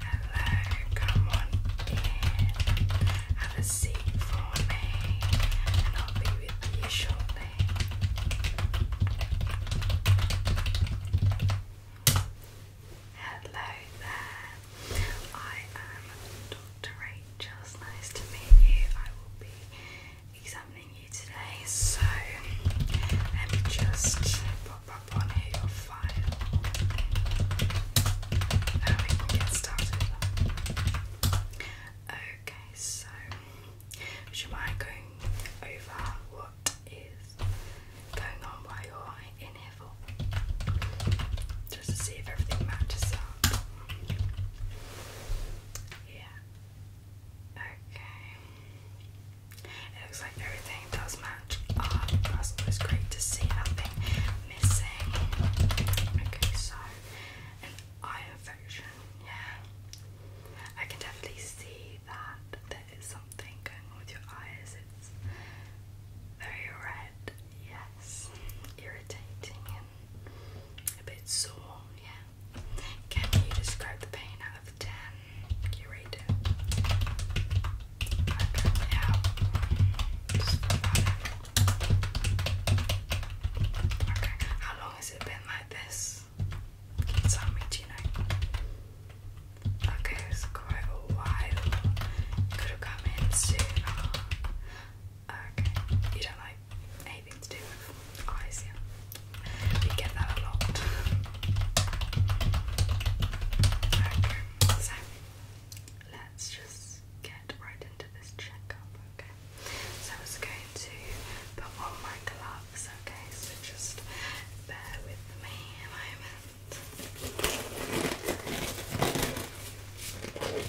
Hello, come on in. Have a seat for me, I'll be with you shortly. Hello there, I am Dr. Rachel. Rachel's nice to meet you. I will be examining you today, so I'm just pop up on here your file. Now we can get started. Okay, so would you mind going over what is going on while you're in here for? just to see if everything matches up. Yeah. Okay. It looks like everything does match up. That's great to see nothing missing. Okay, so eye infection. Yeah. I can definitely see that there is something going on with your eyes. It's very red, yes, irritating, a bit sore, yeah. Can you describe the pain out of 10? You rate it. Okay, how long has it been like this? Can you tell me, Okay, it's quite a while. could have come in sooner. Okay, you don't like anything to do with eyes, yeah? You get that a lot. Okay, so let's just get right into this checkup, okay? So I was going to put on my gloves, okay? So just bear with me a moment.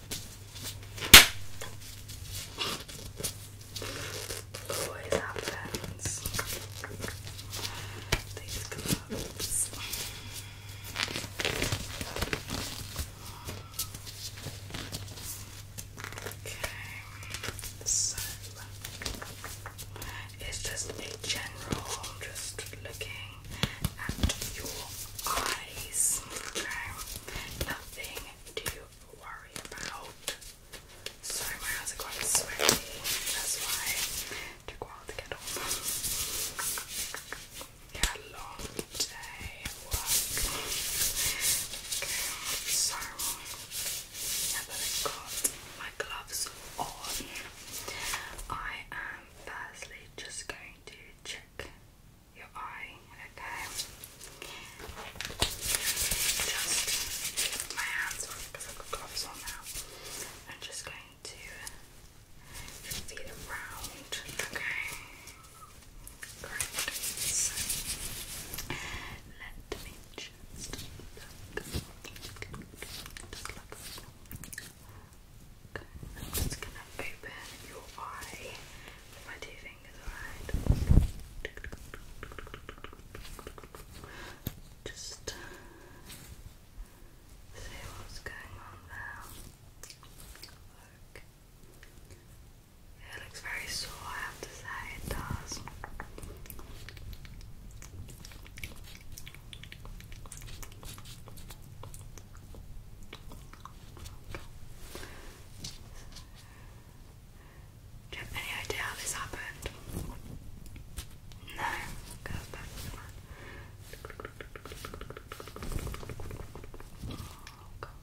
Always happens. These gloves. Okay, so it's just a general, just looking at your eyes. Okay, nothing too worry about. Sorry, my hands are quite sweaty, that's why took a while to Yeah, long day at work. so now I've got my gloves on, I am firstly just going to check your eye, okay? Just my hands because I've got gloves on now. I'm just going to feel around, okay? Correct. So, let me just look. Just look. I'm just gonna open your eye with my TV. Just uh, see what's going on there. It looks very sore, I have to say, it does. Do you have any idea how this happened? No, goes back to the man. Oh, God.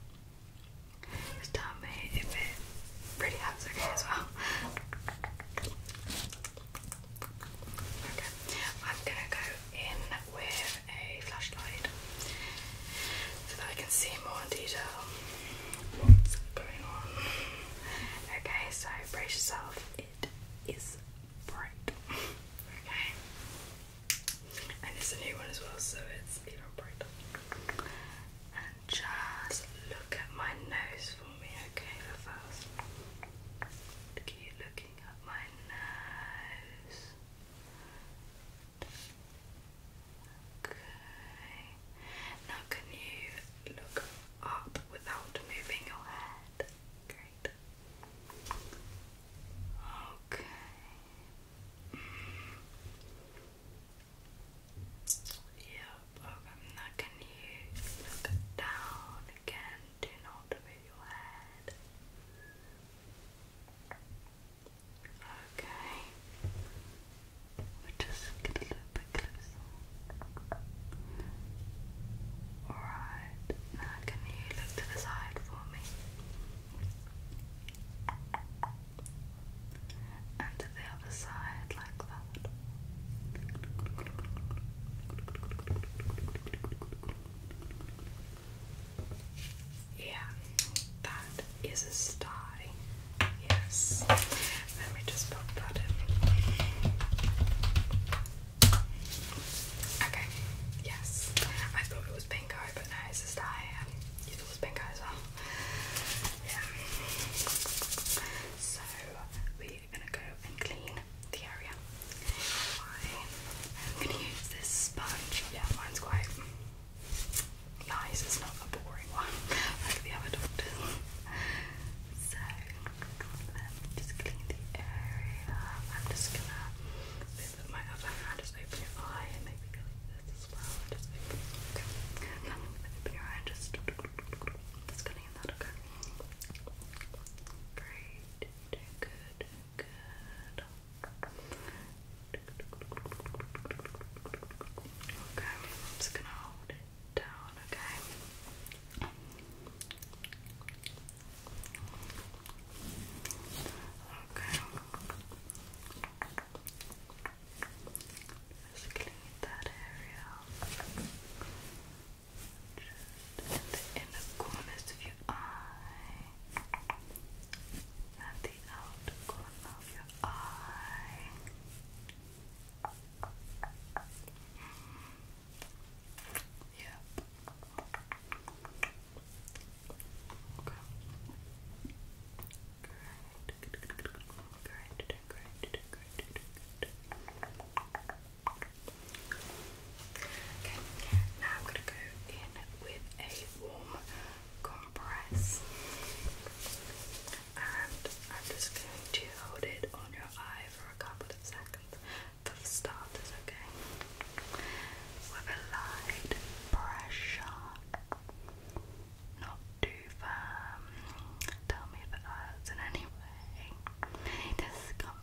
tell me if it really hurts okay as well. Okay, I'm gonna go in with a flashlight so that I can see more in detail what's going on. Okay, so brace yourself, it is bright. Okay, and it's a new one as well, so it's even brighter. And just look at my nose for me, okay, first. Keep looking at my nose. Okay. Now can you look up without moving your head? Great. Okay. Mm. okay. Now can you look down again? Do not move your head. Okay. we just get a little bit closer. Alright. Now can you look to the side for me? And to the other side like that. Yeah, that is a sty. Yes. Let me just pop that in. Okay, yes. I thought it was pink but no, it's a sty. Um, it was pink as well. Yeah. So, we're gonna go and clean the area. I'm gonna use this sponge. Yeah, mine's quite nice. It's not a boring one like the other doctors. So um, just clean the area. I'm just gonna put my other hand, just open your eye, and maybe go like this as well. Just open. your eye and just just gonna in that. Okay. Great. good. Okay, just gonna hold it down, okay? Okay. Just clean that area. Just in the inner corners of your eye, and the outer corner of your eye. Yeah. Okay. Great. Great. Great. Great. Great. Great. Great now I'm going to go in with a warm compress and I'm just going to hold it on your eye for a couple of seconds for starters, okay? With a light pressure, not too firm. Tell me if it hurts in any discomfort.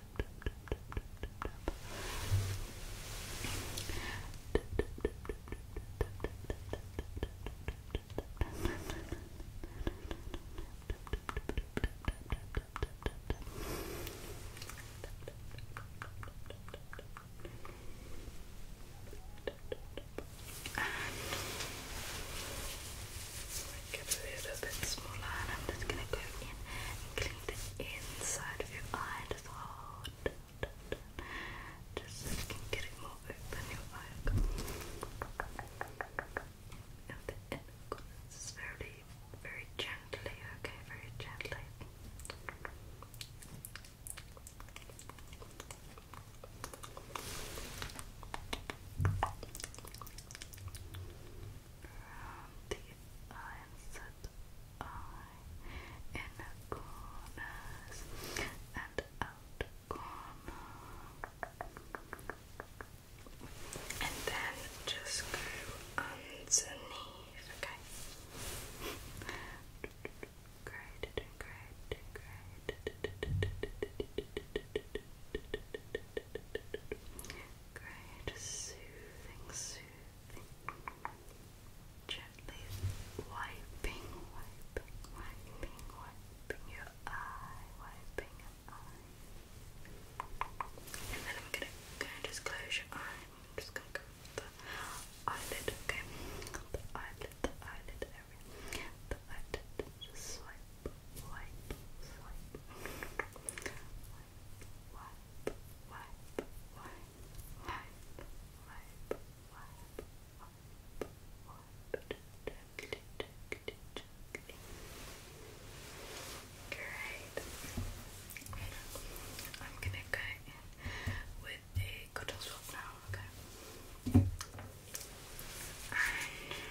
And get a little bit smaller, and I'm just gonna go in and clean the inside of your eye Just so more open, your eye. very, very gently, okay, very gently around the eye eye in the corners and out corner. And then just go underneath, okay? Just soothing, soothing. Gently wiping, wiping, wiping, wiping your eye, wiping your eye. And then I'm gonna, gonna just close your eye. just gonna go with the eyelid, okay? The eyelid, the eyelid area. The eyelid, just swipe, wipe, swipe wipe, wipe, I'm gonna go in with a cotton swab now, okay? And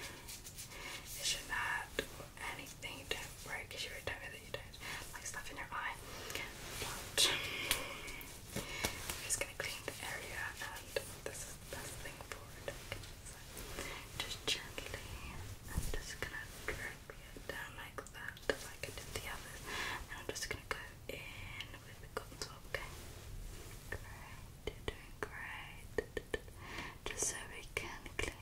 it should any anything you don't wear because you don't know that you don't like stuff in your eye. But I'm just gonna clean the area, and this is the best thing for it. just gently, I'm just gonna drag it down like that, like I did the others, and I'm just gonna go in with the Okay, great, doing great. Just so we can clean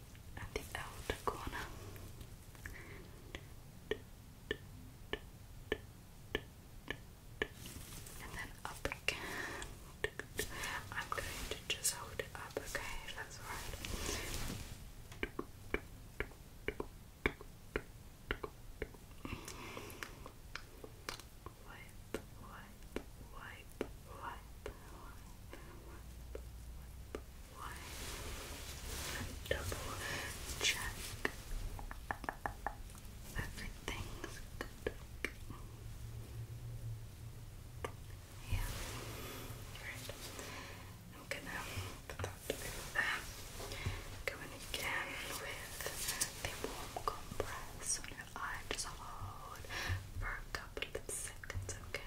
at the outer corner. And then up again. I'm going to just hold it up, okay? That's alright. Wipe, wipe, wipe, wipe, wipe, wipe, wipe, wipe, double check everything's good. Yeah, right. I'm gonna put that over there. Going again with the warm compress on your eye, just hold for a couple of seconds, okay?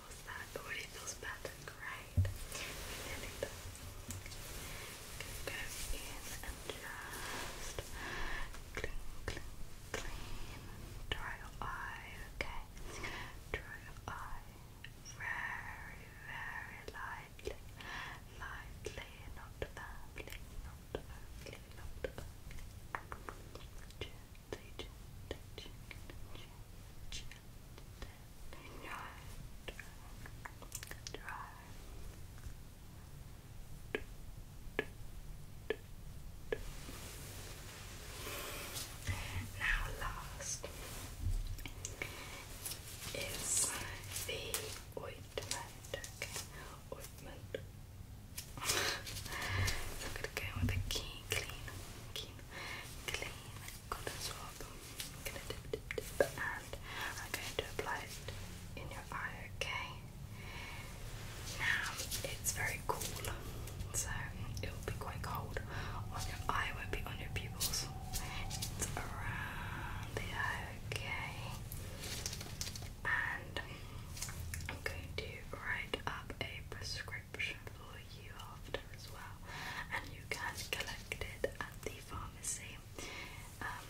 feels that, but it feels bad, great. And then it does. in and just clean, clean, clean. Dry your eye, okay? Dry your eye very, very lightly. Lightly, not firmly, not firmly, not firmly touching, touching, Now last is the Ointment, I'm gonna go with a key clean, clean, clean cotton swab. I'm gonna dip, dip, dip, and I'm going to apply it in your eye, okay? Now it's very cool, so it will be quite cold on your eye, won't be on your pupils. It's around the eye, okay? And I'm going to write up a prescription for you after as well, and you can collect it at the pharmacy. Um,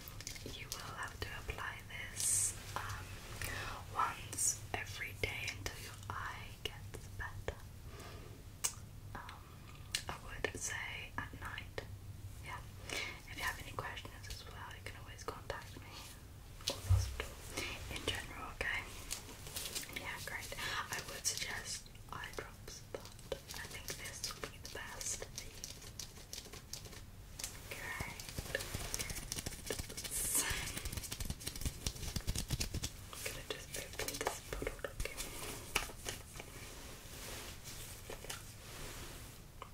you will have to apply this um, once every day until your eye gets better. Um, I would say at night. Yeah. If you have any questions as well, you can always contact me in general, okay? Yeah, great. I would suggest eye drops, but I think this will be the best. Great. I'm gonna just open this bottle, okay?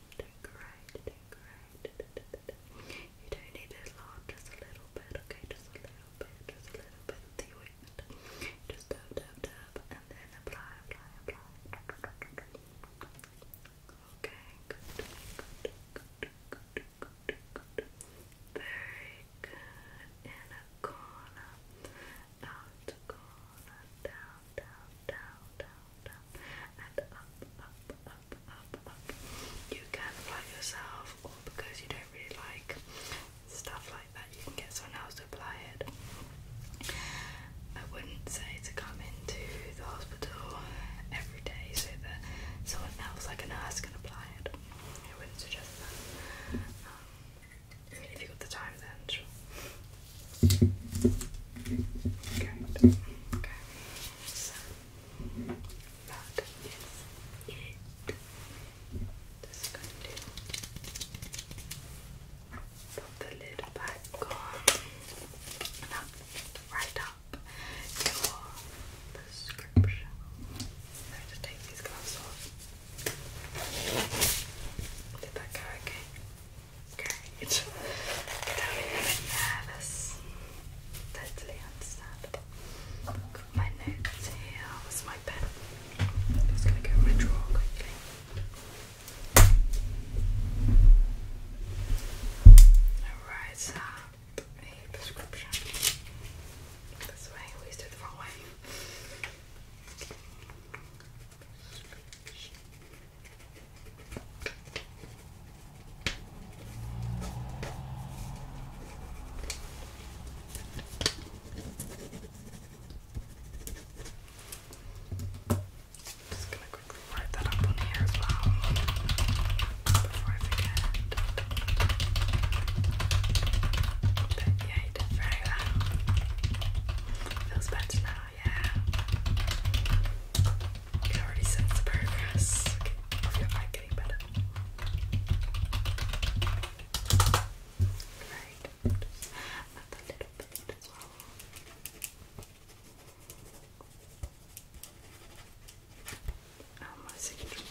Decorate, decorate. You don't need it lot, just a little bit, okay? Just a little bit, just a little bit the ointment. Just dab, dab, dab, and then apply, apply, apply. Okay, good, good, good, good, good, good. Very good. In a corner, out the corner, down, down, down, down, down, and up, up, up. You can apply yourself, or because you don't really like stuff like that, you can get someone else to apply it. I wouldn't say to come into the hospital every day so that someone else, like a nurse, can apply it. I wouldn't suggest that. Um, if you've got the time, then sure. Good. Okay. put the lid back on and up, up your prescription. So just take these gloves Did that go okay? Great. Get out of here nervous. Totally understandable. Got my notes here. Where's my pen? just going to go in my drawer quickly. Alright, a prescription. This way, we used it the wrong way just gonna quickly write that up on here before I forget. you Feels better now yeah. You can already sense the progress. Okay, I feel getting better. Right. Just little bit as well. Oh, my signature.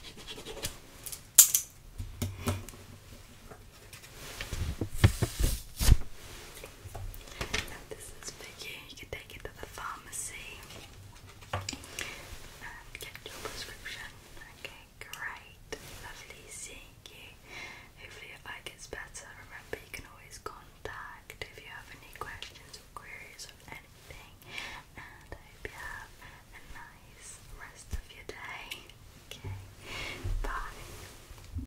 Now this is for you. You can take it to the pharmacy and um, get your prescription. Okay, great. Lovely seeing you. Hopefully your eye gets better. Remember you can always contact if you have any questions or queries or anything. And I hope you have a nice rest of your day. Okay. Bye.